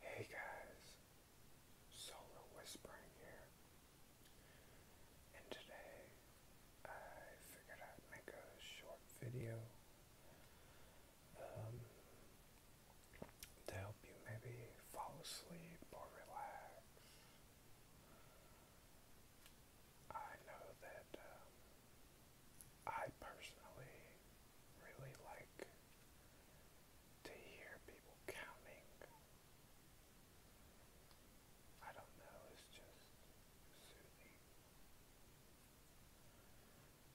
Hey guys, Solo Whispering here, and today I figured I'd make a short video um, to help you maybe fall asleep or relax. I know that um, I personally really like to hear people counting. I don't know, it's just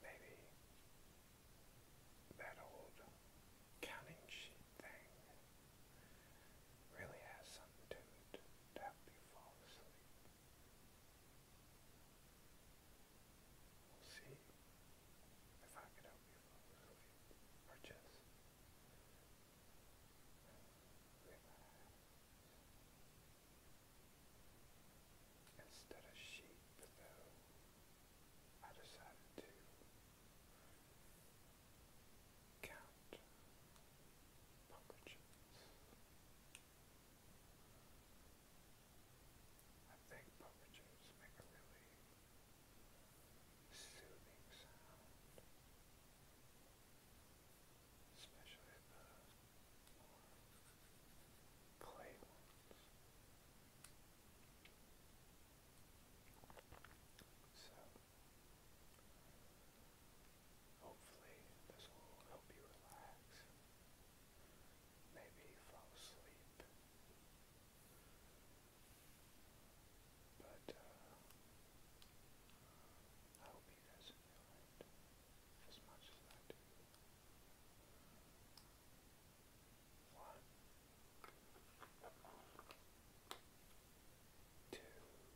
Maybe that old counting sheet thing really has something to it to help you fall asleep. We'll see if I can help you folks or just Instead of sheep, I decided to count pumpkin I think puppet jars make a really soothing sound, especially the more ones. So, hopefully this will help you relax. Maybe he asleep. But uh, I hope he does feel it as much as I do. One, two, three,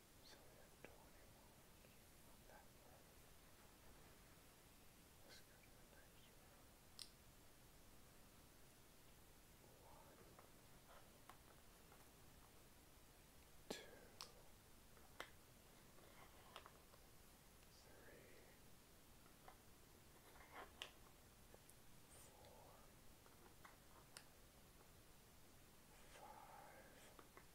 So we have 20 on that row. Let's go to the next row. 1, 2, 3, Four, five,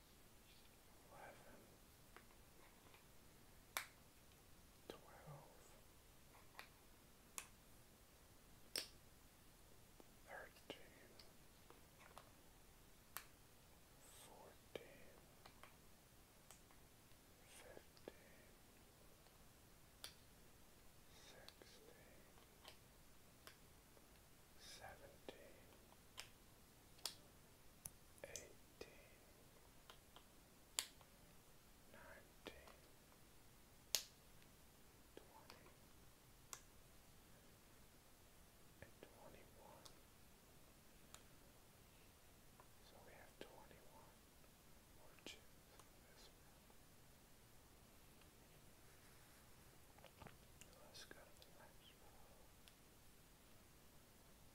eleven, twelve, thirteen, fourteen, fifteen, sixteen, seventeen. 18 eighteen, nineteen, twenty, and twenty-one. So we have twenty-one more chips in this one. Let's go to the next row.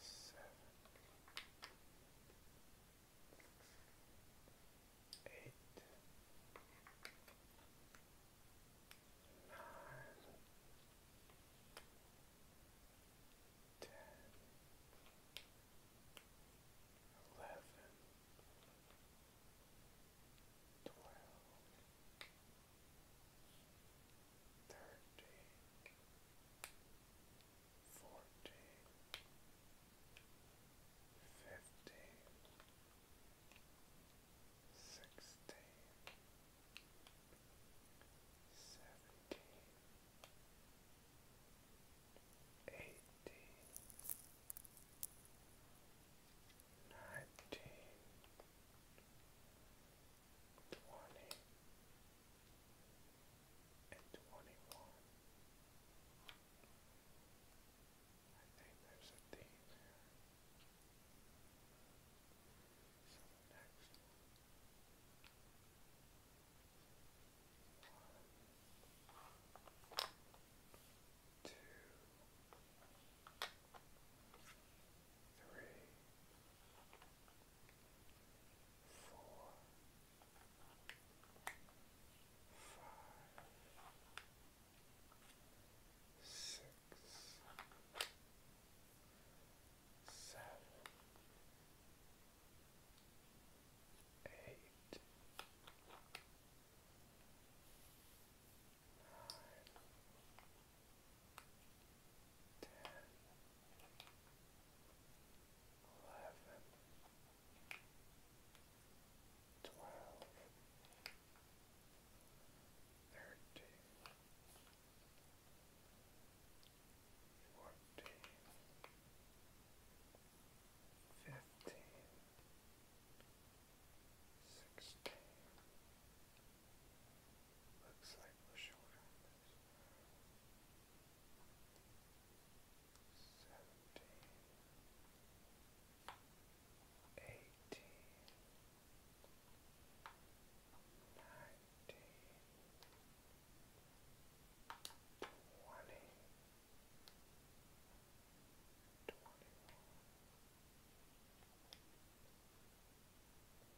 seven, eight, nine, ten, eleven, twelve, thirteen. 14 fourteen, fifteen, sixteen, seventeen, eighteen, nineteen. 18 twenty and twenty-one. I think there's a theme here. So next One, two, three, four, five, six, seven, eight, nine, ten eleven, twelve, thirteen, fourteen, fifteen, sixteen. Looks like we're short on this seventeen, eighteen, nineteen, twenty, twenty-one. 21 22 23 24 25 26 27 28 29 30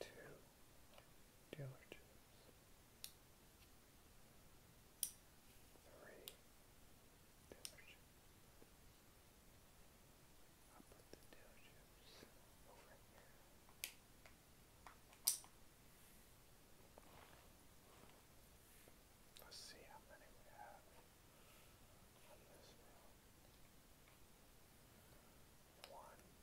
two diligence, three diligence. I'll put the diligence over here. Let's see how many we have on this row. One,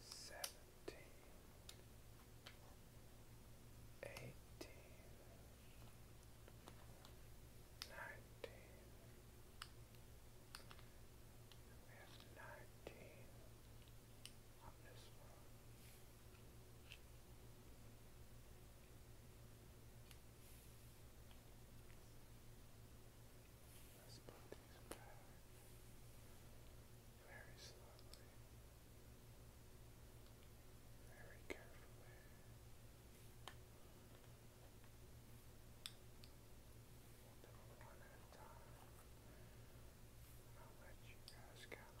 seventeen, eighteen, nineteen. We let very slowly, very carefully. one at a time. I'll let you guys count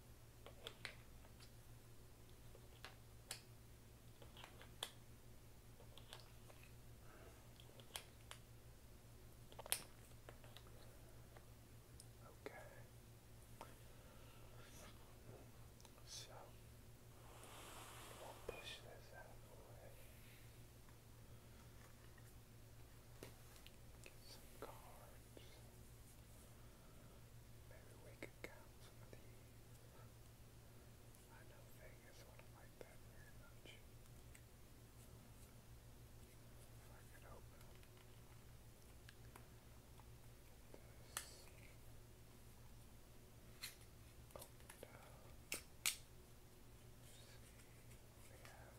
Okay. So we'll push this out of the way. Get some cards. Maybe we could count some of these. I know Vegas wouldn't like that very If I could open This. Opened up. we have.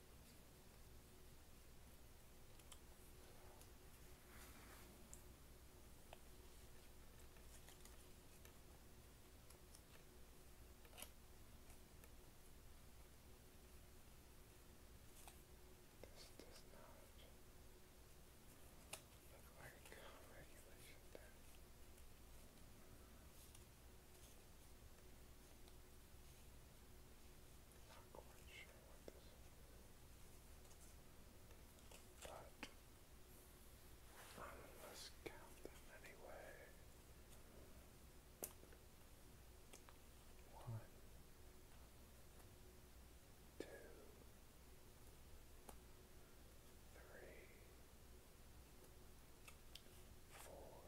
Does this look like regulation not quite sure what this is. But um, let's count them anyway. One, two, three, four,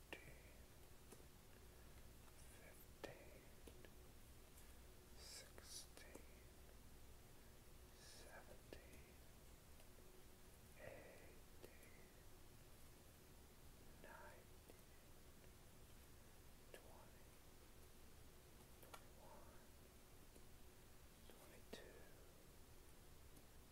fourteen, fifteen, sixteen, seventeen, eighteen, nineteen, twenty, twenty-one, twenty-two, twenty-three, twenty-four, twenty-five, twenty-six, twenty-seven, twenty-eight, twenty-nine, thirty, thirty-one, thirty-two, thirty-three, thirty-four, thirty-five, thirty-six, thirty-seven, thirty-eight, thirty-nine, forty,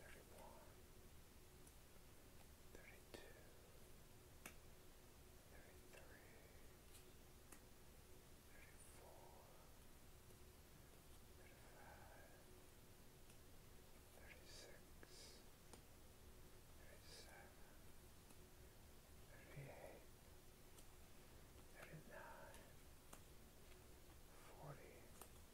thirty-one, thirty-two, thirty-three, thirty-four, thirty-five, thirty-six, thirty-seven, thirty-eight, thirty-nine, forty, forty-one,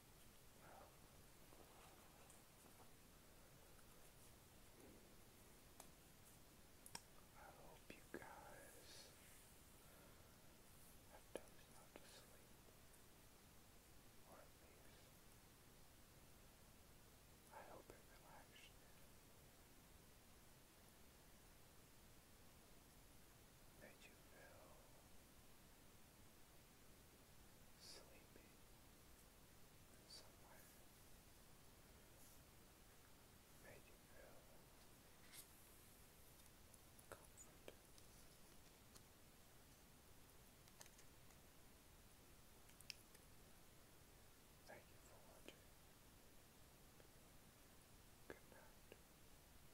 I hope you guys have done enough to sleep, or at least I hope it relaxed you. you sleepy in some you feel comfort. Thank you for watching. Good night.